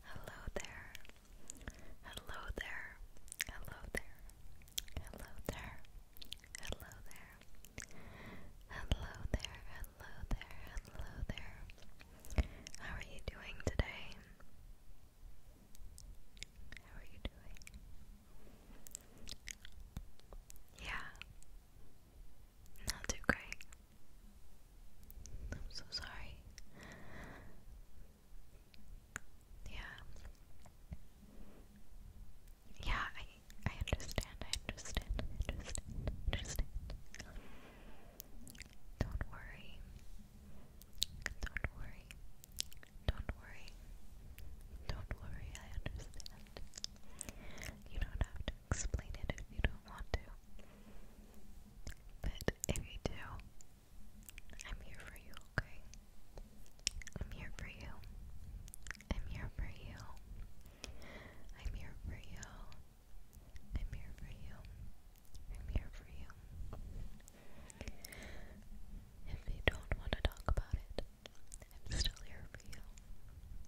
Hello there. Hello there. Hello there. Hello there. Hello there. Hello there. Hello there. Hello there. How are you doing today? How are you doing? Yeah. Not too great. I'm so sorry. Yeah. Yeah, I I understand, I understand, understand, understand. Don't worry. Don't worry. Don't worry. Don't worry, I understand. You don't have to explain it if you don't want to. But if you do, I'm here for you, okay? I'm here for you. I'm here for you. I'm here for you. I'm here for you. I'm here for you. If you don't want to talk about it, I'm still here for you.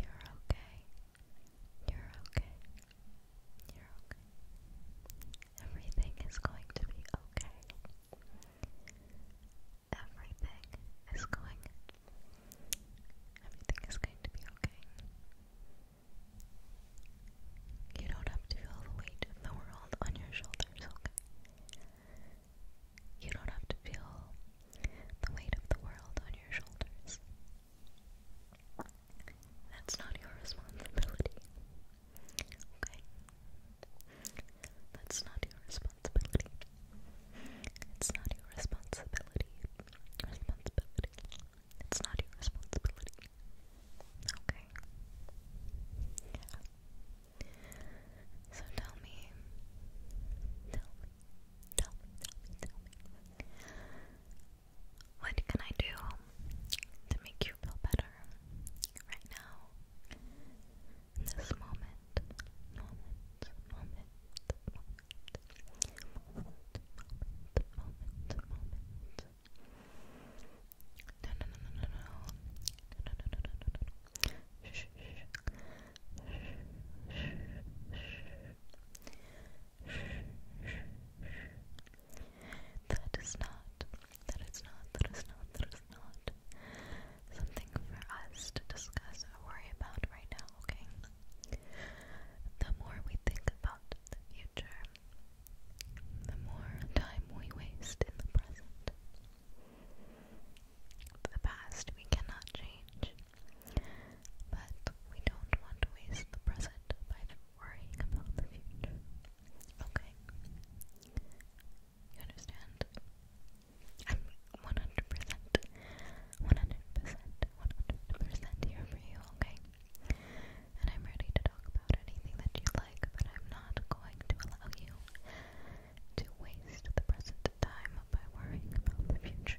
You're okay. You're okay. You're okay. Everything is going to be okay. Everything is going Everything is going to be okay. You don't have to feel the weight of the world on your shoulders, okay? You don't have to feel the weight of the world on your shoulders. That's not your responsibility. Okay? That's not your responsibility. It's not your responsibility. Responsibility. It's not your responsibility. Okay. So tell me. Tell Tell Tell what can I do to make you feel better right now? In this moment, moment, moment, moment, moment, moment, moment. No, no, no, no, no, no, no, no, no, no, no, no. Shh, shh, shh, shh, shh. That is not, that is not, that is not, that is not something for us to discuss or worry about right now, okay? The more we think about the future, the more time we waste in the present. The past we cannot change, but we don't want to waste the present by worrying about the future. Okay? You understand? I'm 100%, 100%, 100% here for you, okay? And I'm ready to talk about anything that you like, but I'm not going to allow you to waste the present time by worrying about the future.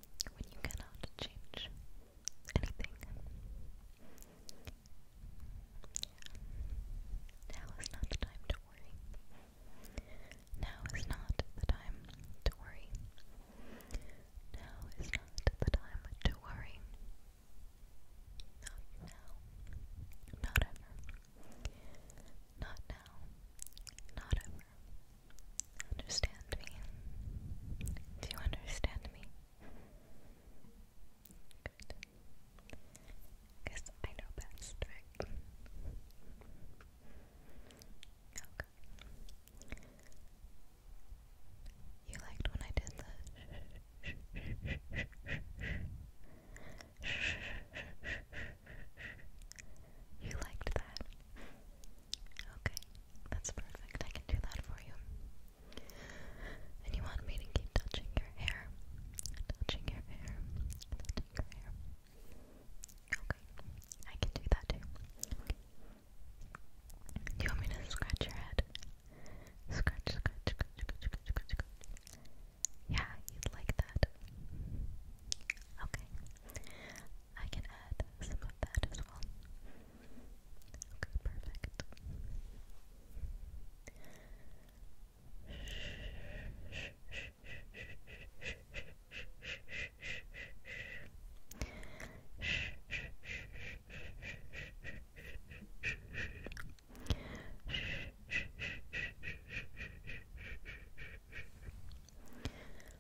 when you cannot change anything. Now is not the time to worry. Now is not the time to worry. Now is not the time to worry. Not now. Not ever. Not now. Not ever. Understand me? Do you understand me? Good. I know best, right? Okay. You liked when I did the You liked that. Okay, that's perfect. I can do that for you. And you want me to keep touching your hair? Touching your hair. Touching your hair. Okay, I can do that too. Okay. Do you want me to scratch your head? Scratch, scratch, scratch, scratch, scratch, scratch, scratch. Yeah, you'd like that. Okay. I can add some of that as well. Okay, perfect.